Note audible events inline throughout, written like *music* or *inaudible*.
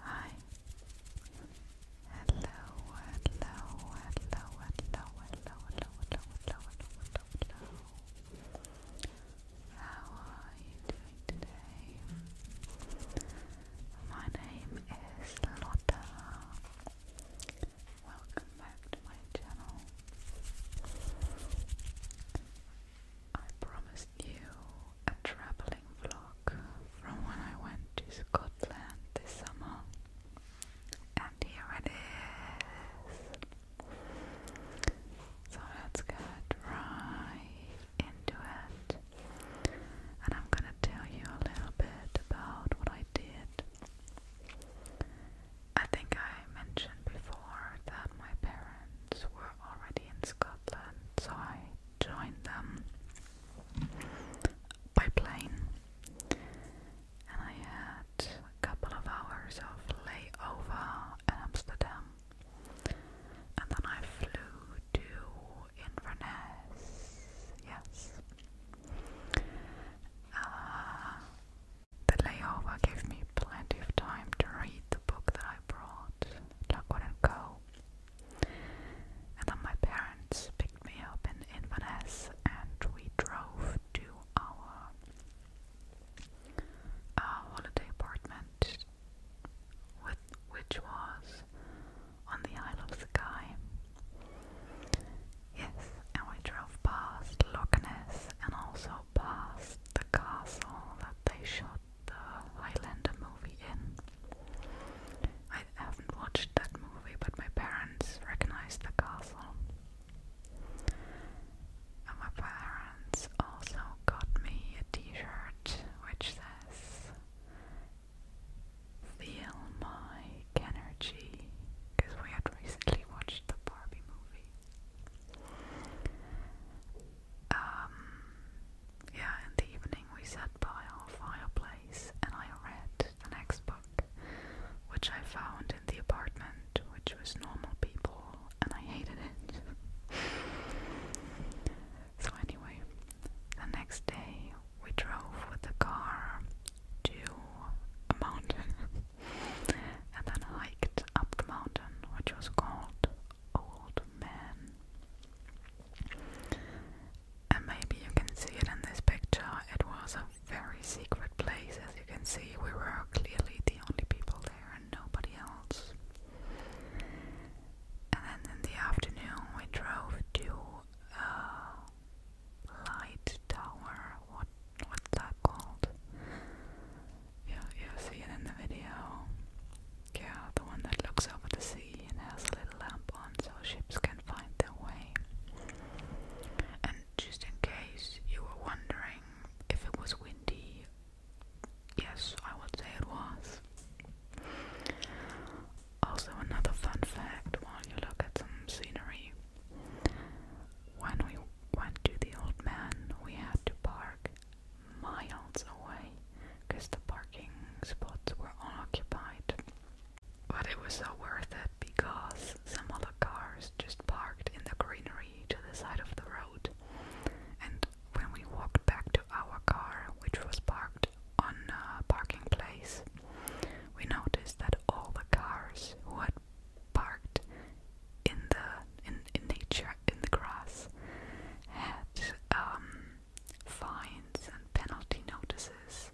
Hi. Hello, hello, hello, hello, hello, hello, hello, hello, How are you doing today? My name is Lotta. Welcome back to my channel. I promised you a travelling vlog from when I went to Scotland this summer, and here it is. So let's get right into it, and I'm gonna tell you a little bit about what I did I think I mentioned before that my parents were already in Scotland, so I joined them by plane and I had a couple of hours of layover in Amsterdam and then I flew to Inverness, yes. Uh, the layover gave me plenty of time to read the book that I brought that I go. And my parents picked me up in Inverness and we drove to our uh, holiday apartment, which was on the Isle of Skye. Yes, and we drove past Loch Ness and also past the castle that they shot the Highlander movie in. I haven't watched that movie, but my parents recognize the castle. And my parents also got me a t-shirt which says Feel my energy because we had recently watched the Barbie movie. Um, yeah, in the evening we sat by our fireplace and I read the next book, which I found in the apartment, which was Normal People, and I hated it. *laughs* so, anyway, the next day we drove with the car to a mountain *laughs* and then hiked up the mountain, which was called Old Man. And maybe you can see it in this picture. It was a very secret place, as you can see. We were clearly the only people there and nobody else. And then in the afternoon, we drove to uh, light tower. What what's that called? Yeah, you'll see it in the video. Yeah, the one that looks over the sea and has a little lamp on so ships can find their way. And just in case you were wondering if it was windy, yes, I would say it was. Also, another fun fact while you look at some scenery when we went to the old man, we had to park miles away because the parking spots were unoccupied. But it was so worth it because some other cars just parked in the greenery to the side of the road. And when we walked back to our car, which was parked on a parking place, we noticed that all the cars who had parked in the in, in nature in the grass had um, fines and penalty notices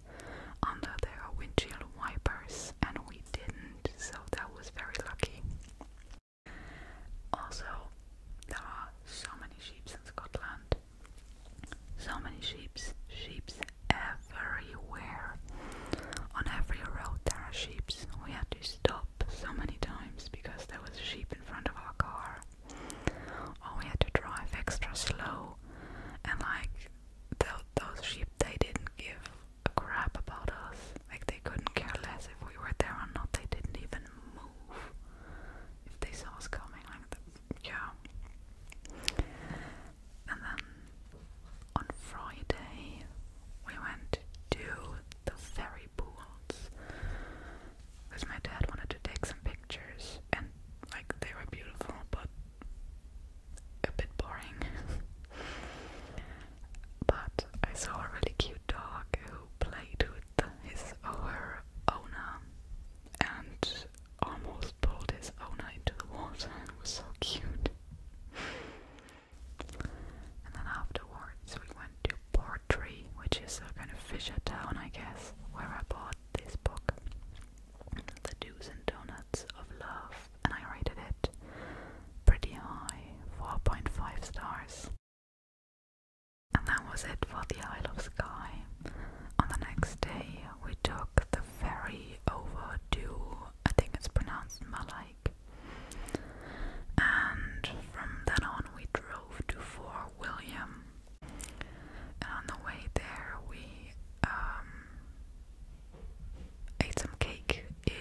under their windshield wipers, and we didn't, so that was very lucky. Also, there are so many sheep in Scotland. So many sheep, sheep everywhere. On every road there are sheep. We had to stop so many times because there was a sheep in front of our car. Or we had to drive extra slow and like those sheep they didn't give a crap about us. Like they couldn't care less if we were there or not. They didn't even move if they saw us coming like Yeah. And then on Friday we went to the ferry pools because my dad wanted to take some pictures and like they were beautiful but a bit boring. *laughs* but I saw a really cute dog who played with his or her owner and almost pulled his owner into the water. It was so cute. and then afterwards, we went to Portree, which is a kind of fisher town, I guess, where I bought this book, The Do's and Donuts of Love, and I rated it pretty high 4.5 stars. And that was it for the Isle of Skye. On the next day, we took the ferry over to, I think it's pronounced Malaik. And from then on, we drove to Fort William. And on the way there, we um, ate some cake in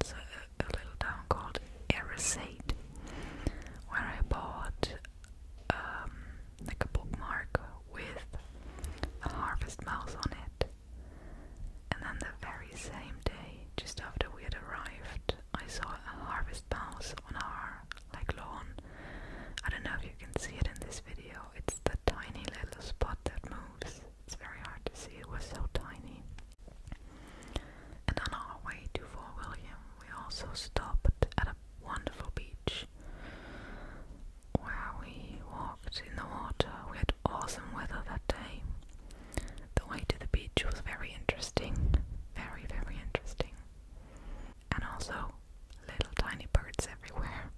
a, a little town called Erisade, where I bought um, like a bookmark with a harvest mouse on it. And then the very same day, just after we had arrived, I saw a harvest mouse on our like lawn. I don't know if you can see it in this video. It's the tiny little spot that moves. It's very hard to see. It was so tiny. And on our way to Fort William, we also stopped at a wonderful beach where we walked in the water. We had awesome weather that day. The way to the beach was very interesting, very, very interesting. And also, little tiny birds everywhere.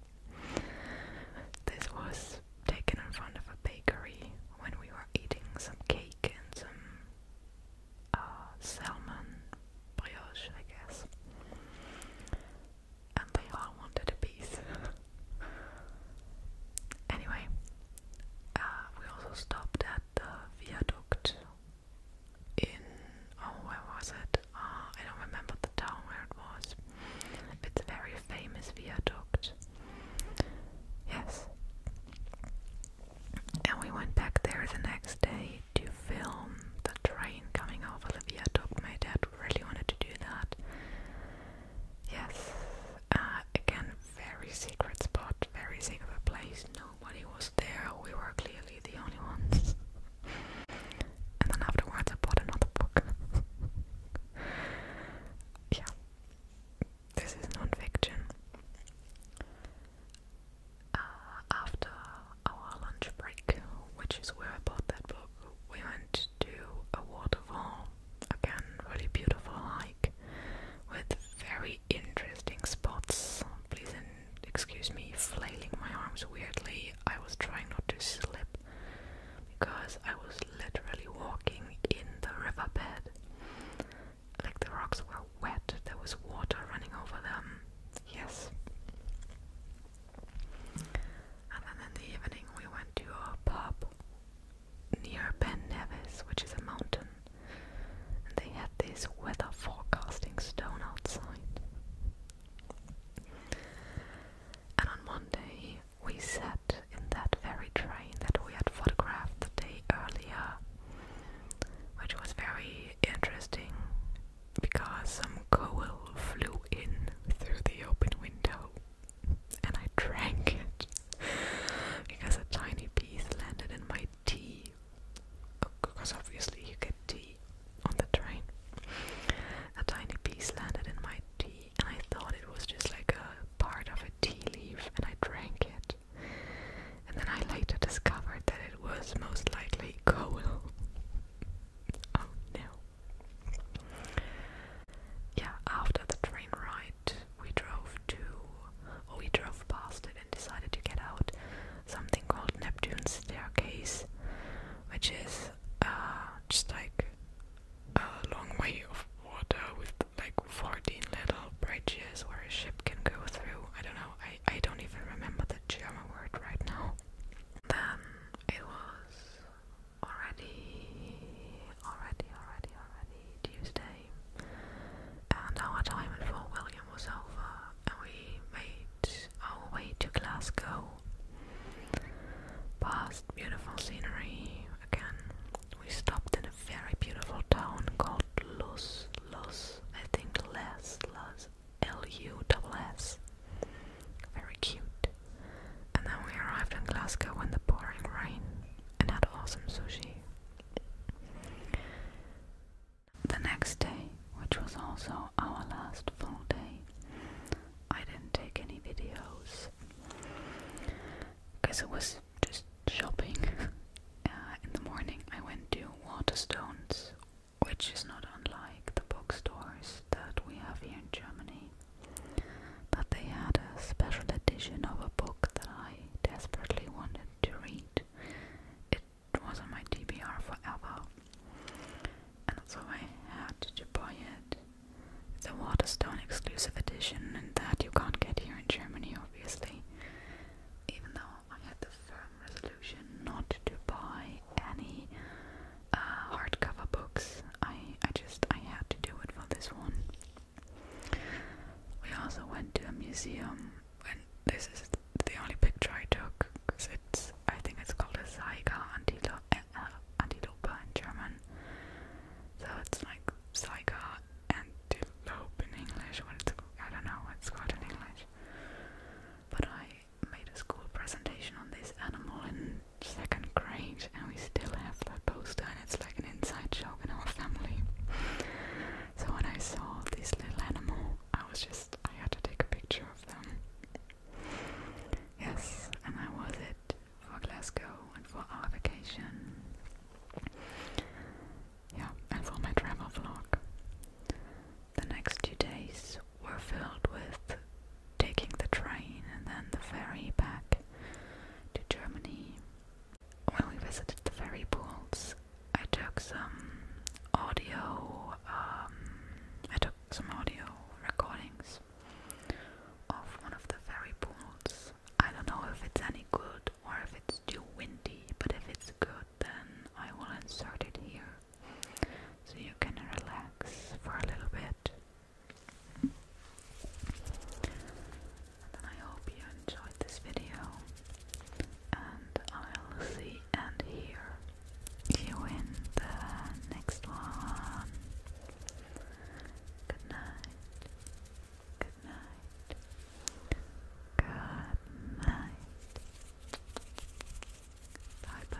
This was taken in front of a bakery when we were eating some cake and some uh, salmon brioche, I guess. And they all wanted a piece. *laughs* anyway, uh, we also stopped at the viaduct in, oh, where was it? Uh, I don't remember the town where it was. It's a very famous viaduct. Yes. And we went back there the next day to film the train coming off Olivia Top. My dad really wanted to do that. Yes, uh, again, very secret spot, very secret place. Nobody was there. We were clearly the only ones. and then afterwards, I bought another book. *laughs* yeah, this is non uh, after our lunch break, which is where I bought that book, we went to a waterfall. Again, really beautiful hike with very interesting spots. Please excuse me flailing my arms weirdly. I was trying not to slip because I was literally walking in the riverbed like the rocks were wet, there was water running over them. Yes. And then in the evening, we went to a pub near Ben Nevis, which is a mountain, and they had this weather forecasting stone outside. And on Monday, we sat in that very train that we had photographed the day earlier, which was very interesting because some coal flew in through the open window and I drank it because a tiny piece landed in my tea. Because obviously, you get tea on the train. A tiny piece landed in my tea, and I thought it was just like a part of a tea leaf, and I drank it. And then I later discovered that it was most likely coal. *laughs* oh no. Yeah, after the train ride, we drove to, or we drove past it and decided to get out something called Neptune's Staircase, which is uh, just like a long way of water with like 14 little bridges where a ship can go through. I don't know, I, I don't even remember the German word right now. Then it was already, already, already, already Tuesday. And our time in Fort William was over, and we made our way to Glasgow. Past beautiful scenery again, we stopped in a very beautiful town called Luz, Luz, I think Les, Luz, L-U-S-S. Very cute. And then we arrived in Glasgow in the pouring rain and had awesome sushi. The next day, which was also our last full day, I didn't take any videos because it was just shopping. *laughs* Uh, in the morning, I went to Waterstones, which is not unlike the bookstores that we have here in Germany. But they had a special edition of a book that I desperately wanted to read. It was on my TBR forever, and so I had to buy it. It's a Waterstone exclusive edition, and that you can't get here in Germany obviously, even though I had the firm resolution not to buy any uh, hardcover books. I I just I had to do it for this one. We also went to a museum, and this is the only picture I took because it's I think it's called a Zeiger Antilope, uh, Antilope in German. So it's like it's like a antelope in English. What I don't know what called in English. But I made a school presentation on this animal in second grade, and we still have that poster, and it's like an inside joke in our family. So when I saw this little animal, I was just I had to take a picture of them. Yes, and that was it for Glasgow and for our vacation. Yeah, and for my travel vlog. The next two days were filled with taking the train and then the ferry back to Germany. When we visited the ferry ports, I took some audio, um, I took some audio recordings of one of the ferry ports. I don't know if it's any good or if it's too windy, but if it's good, then I will insert it here so you can relax for a little bit. And then I hope you enjoyed this video, and I'll see and hear you in the next one. Good night. Good night. Good night. Bye bye.